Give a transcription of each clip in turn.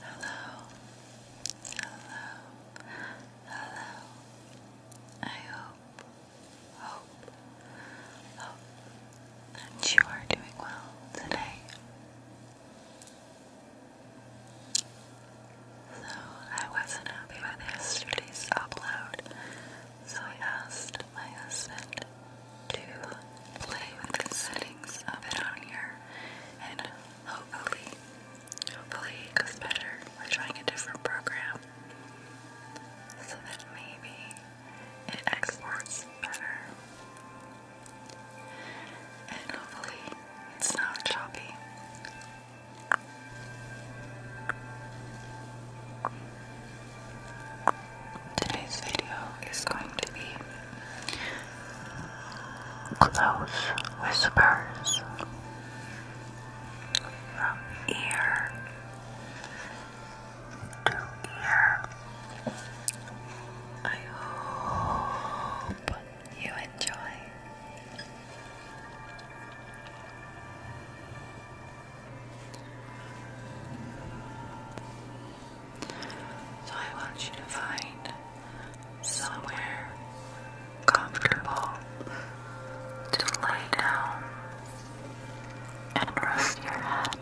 Hello, hello, hello. I hope, hope, hope that you are doing well today. So, I wasn't happy with yesterday's upload, so I asked my husband to play with the settings of it on here and hopefully, hopefully it goes better. We're trying a different program so that maybe it exports better. And hopefully it's not choppy. Today's video is going to be close whispers from ear to ear. I hope you enjoy. So I want you to find somewhere comfortable to lay down and rest your head.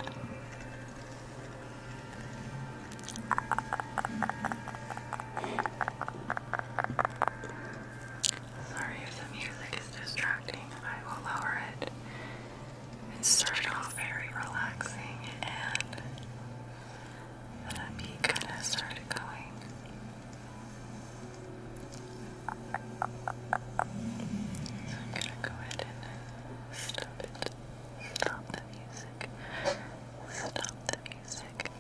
Sorry if the music is distracting, I will lower it it started off very relaxing and then a beat started going. So I'm going to go ahead and stop it. Stop the music. Stop the music.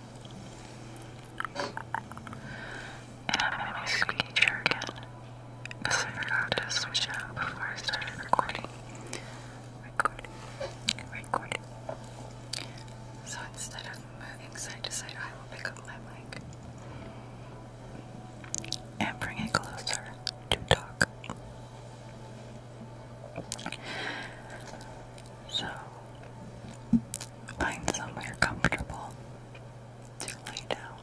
And I'm going to squeeze again because I forgot to switch it before I started recording. Recording. Recording. So instead of moving side to side, I will pick up my mic and bring it closer to talk. So, find somewhere comfortable to lay down.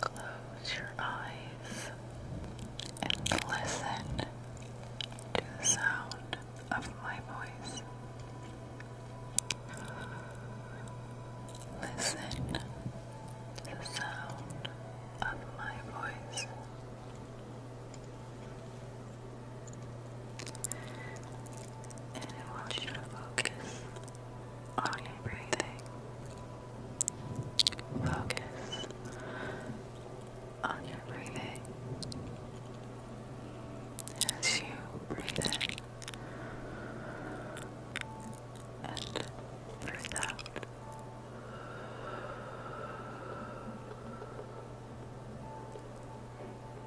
Close your eyes and listen to the sound of my voice. Listen to the sound of my voice. And I want you to focus on your breathing. Focus on your breathing. As you breathe in and breathe out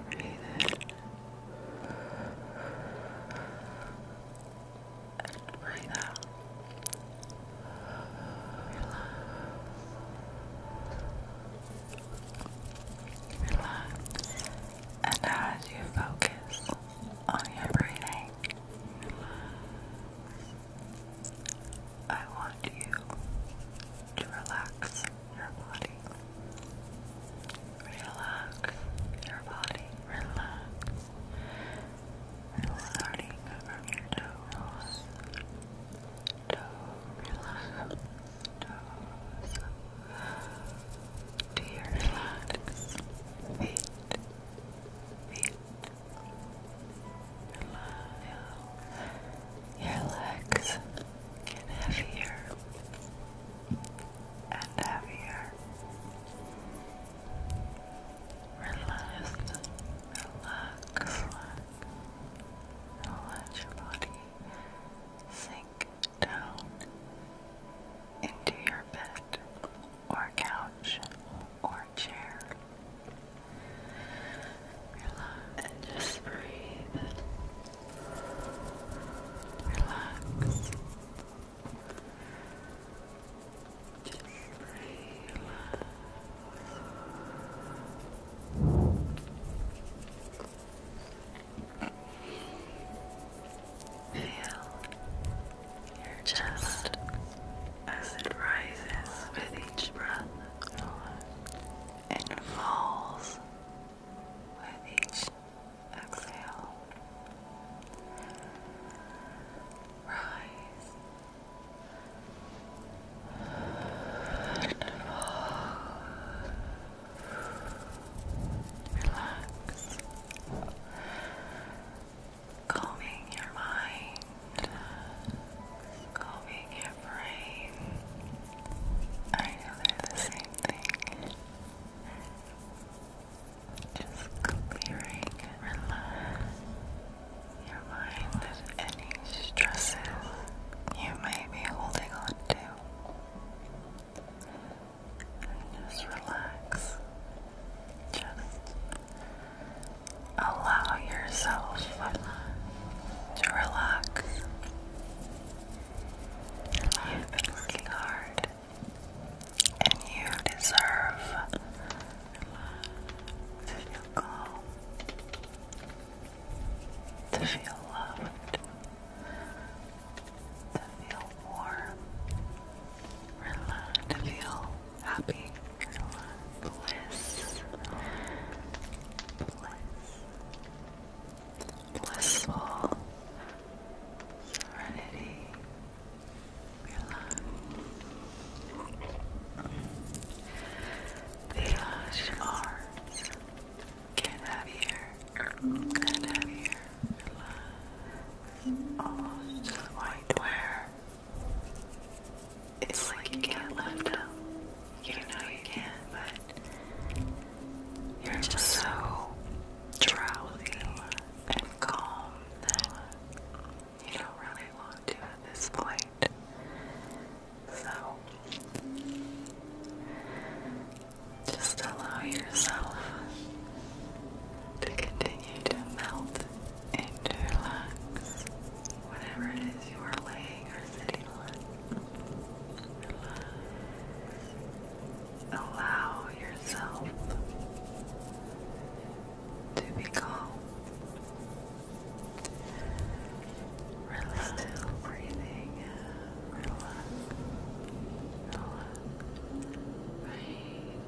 breathe in and breathe out. Relax. Relax. And as you focus on your breathing, I want you to relax your body. Relax your body. Relax. Relax. Starting from your toes. Toes. Relax. Toes. To your relax. Feet. Feet. Relax. Your legs and heavier and heavier. Relax, relax, relax. Let your body sink down into your bed or couch or chair. Relax and just breathe. Relax. Just relax. Feel your chest as it rises with each breath and falls with each exhale. Rise and fall. Relax, calming your mind Sculpting your brain. I know they're the same thing. Just clearing your mind of any stresses you may be holding on to. And just relax. Just Allow yourself to relax. You've been working hard and you deserve to feel calm, to feel loved, to feel warm, to feel happy, bliss, blissful serenity, relax. The lush get heavier and heavier, relax, almost white wear. It's like you get left out. You know you can, but you're just so drowsy and calm that you don't really want to at this point. So just allow yourself to continue to melt and Whatever it is you are laying or sitting on, Allow yourself to be calm. Still breathing. Relax.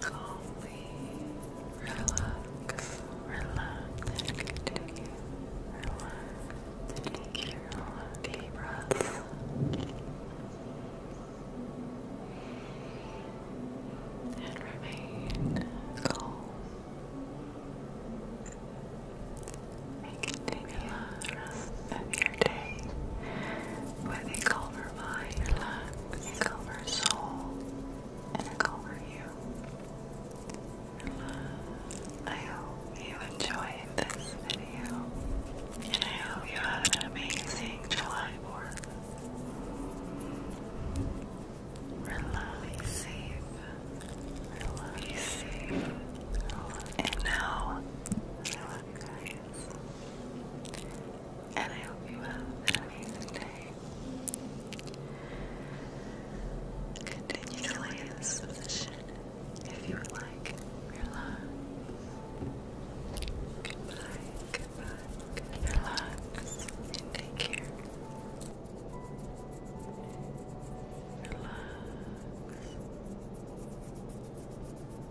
Calmly relax, relax, continue, relax, take deep breaths. And remain calm. And continue the rest of your day but they call her mind, they call her soul, and they call you. I hope you enjoy this video, and I hope you had an amazing July 4th. Relax, relax, and now I and I hope you have an amazing day. Continue to lay in this position if you would like. Relax. Goodbye, goodbye. Relax and take care. Relax.